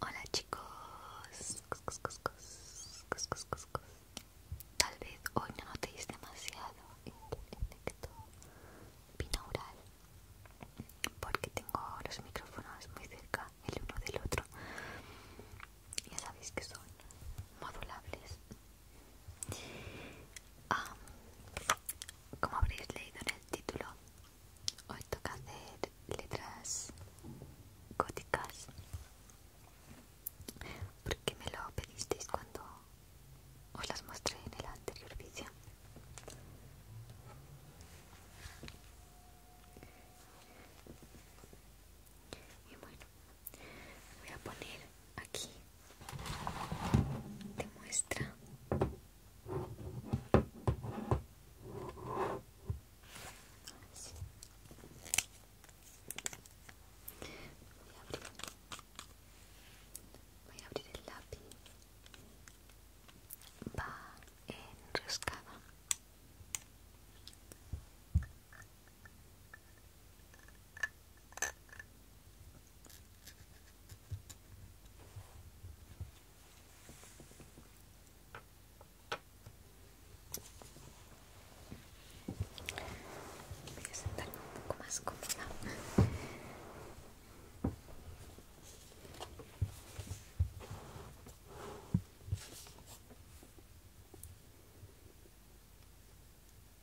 Hola chicos, coscos coscos tal vez hoy no notéis demasiado el efecto binaural porque tengo los micrófonos muy cerca el uno del otro. Ya sabéis que son modulables Ah, como habréis leído en el título, hoy toca hacer letras góticas porque me lo pedisteis cuando os las mostré en el anterior vídeo. Y bueno, voy a poner aquí te muestra voy a abrir voy a abrir el lápiz va enroscada Voy a sentarme un poco más cómoda.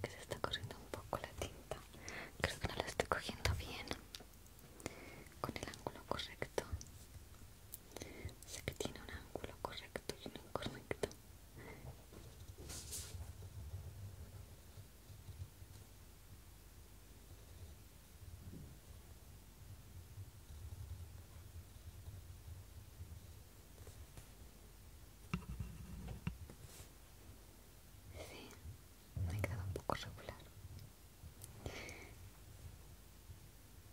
Creo que se está corriendo un poco la tinta. Creo que no la estoy cogiendo bien con el ángulo correcto sé que tiene un ángulo correcto y uno incorrecto Sí, me quedado un poco regular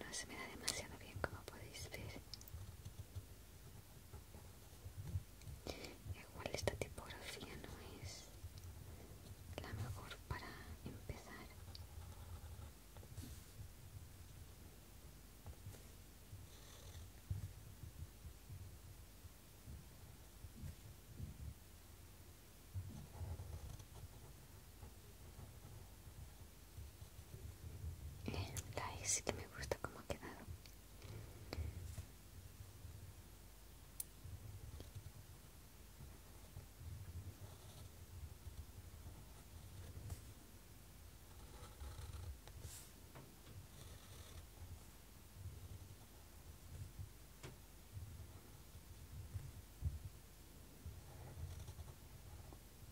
no se me da demasiado bien como podéis ver igual esta tipografía no es la mejor para empezar la es que me gusta como ha quedado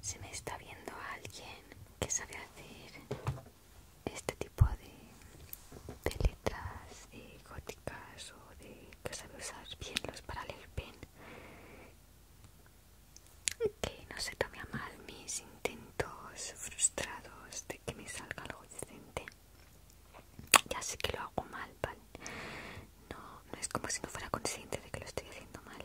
Se me está viendo alguien que sabe hacer este tipo de, letras góticas o de que sabe usar bien los leer Que no se tome mal mis intentos frustrados de que me salga algo decente. Ya sé que lo hago mal, ¿vale? No, no es como si no fuera consciente de que lo estoy haciendo mal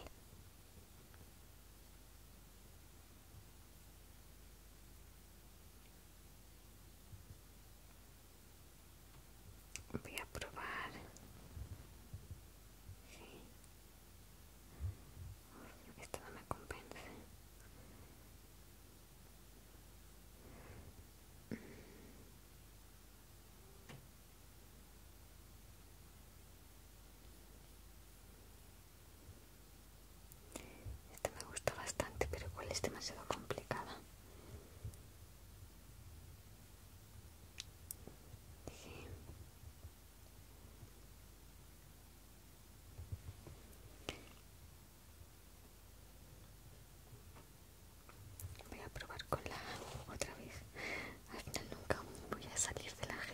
voy a probar sí. esto no me compensa este me gusta bastante, pero igual es demasiado complicada. Voy a probar con la otra vez. Al final nunca voy a salir de la G.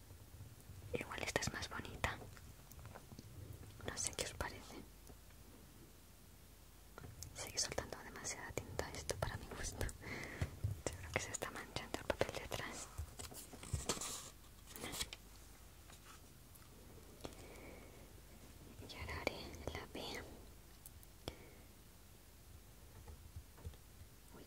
Igual esta es más bonita. No sé qué os parece. Sigue soltando demasiada tinta esto para mi gusto. Seguro que se está manchando el papel de atrás. Y ahora haré la B. Uy.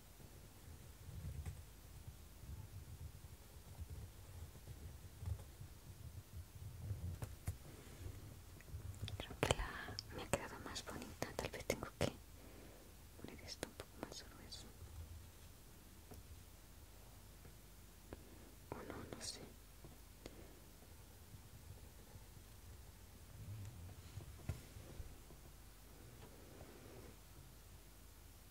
Creo que me ha quedado más bonita. Tal vez tengo que poner esto un poco más grueso. O no, no sé.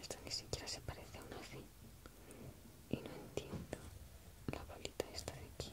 Esto ni siquiera se parece a una fin Y no entiendo la bolita esta de aquí.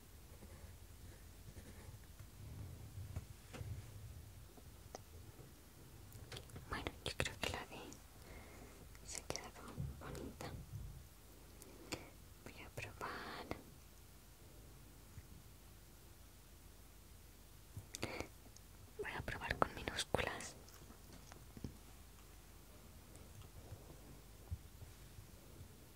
Bueno, yo creo que la vi se ha bonita. Voy a probar. Voy a probar con minúsculas.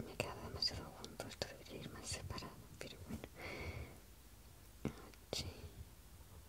me queda demasiado junto, esto debería ir más separado, pero bueno.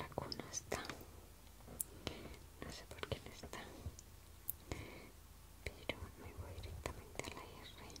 La cuna está. No sé por qué está. Pero me voy directamente a la R. R.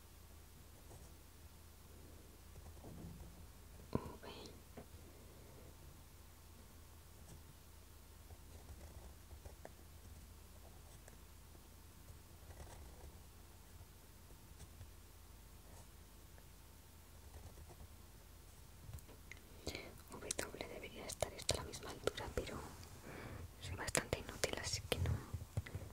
V. W debería estar esto a la misma altura, pero es bastante inútil, así que no,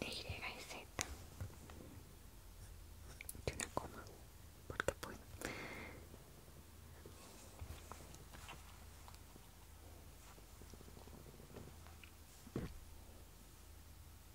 Y y Z una coma porque puedo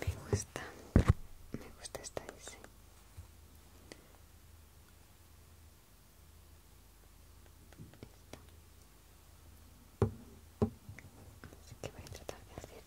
Me gusta, me gusta esta dice. Así que voy a tratar de hacerla.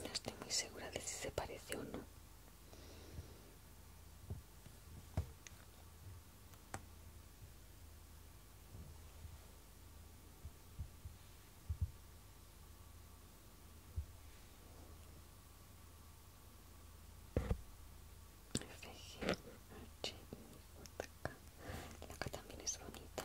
No estoy muy segura de si se parece o no. H, La que también es bonita.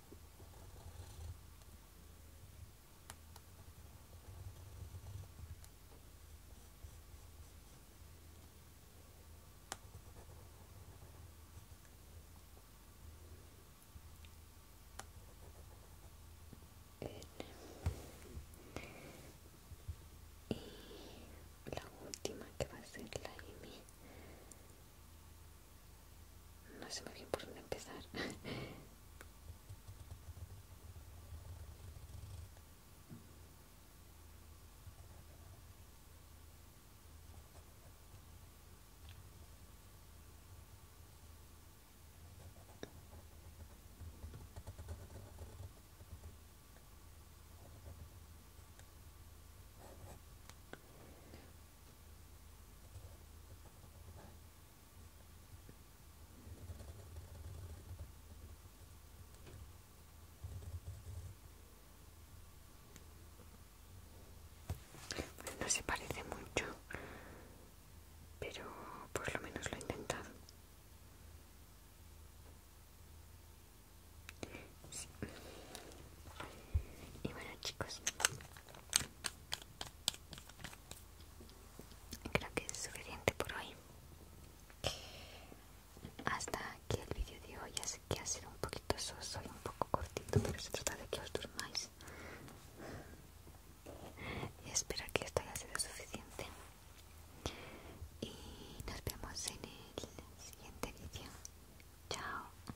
y la última que va a ser la no sé muy bien por dónde empezar. No se parece mucho, pero por lo menos lo he intentado. Y bueno chicos, Creo que es suficiente por hoy. Hasta aquí el vídeo de hoy, Ya sé que ha sido un poquito soso y un poco cortito, pero se trata de que os durmáis. Y espero que esto haya sido suficiente. Y nos vemos en el siguiente vídeo. Chao.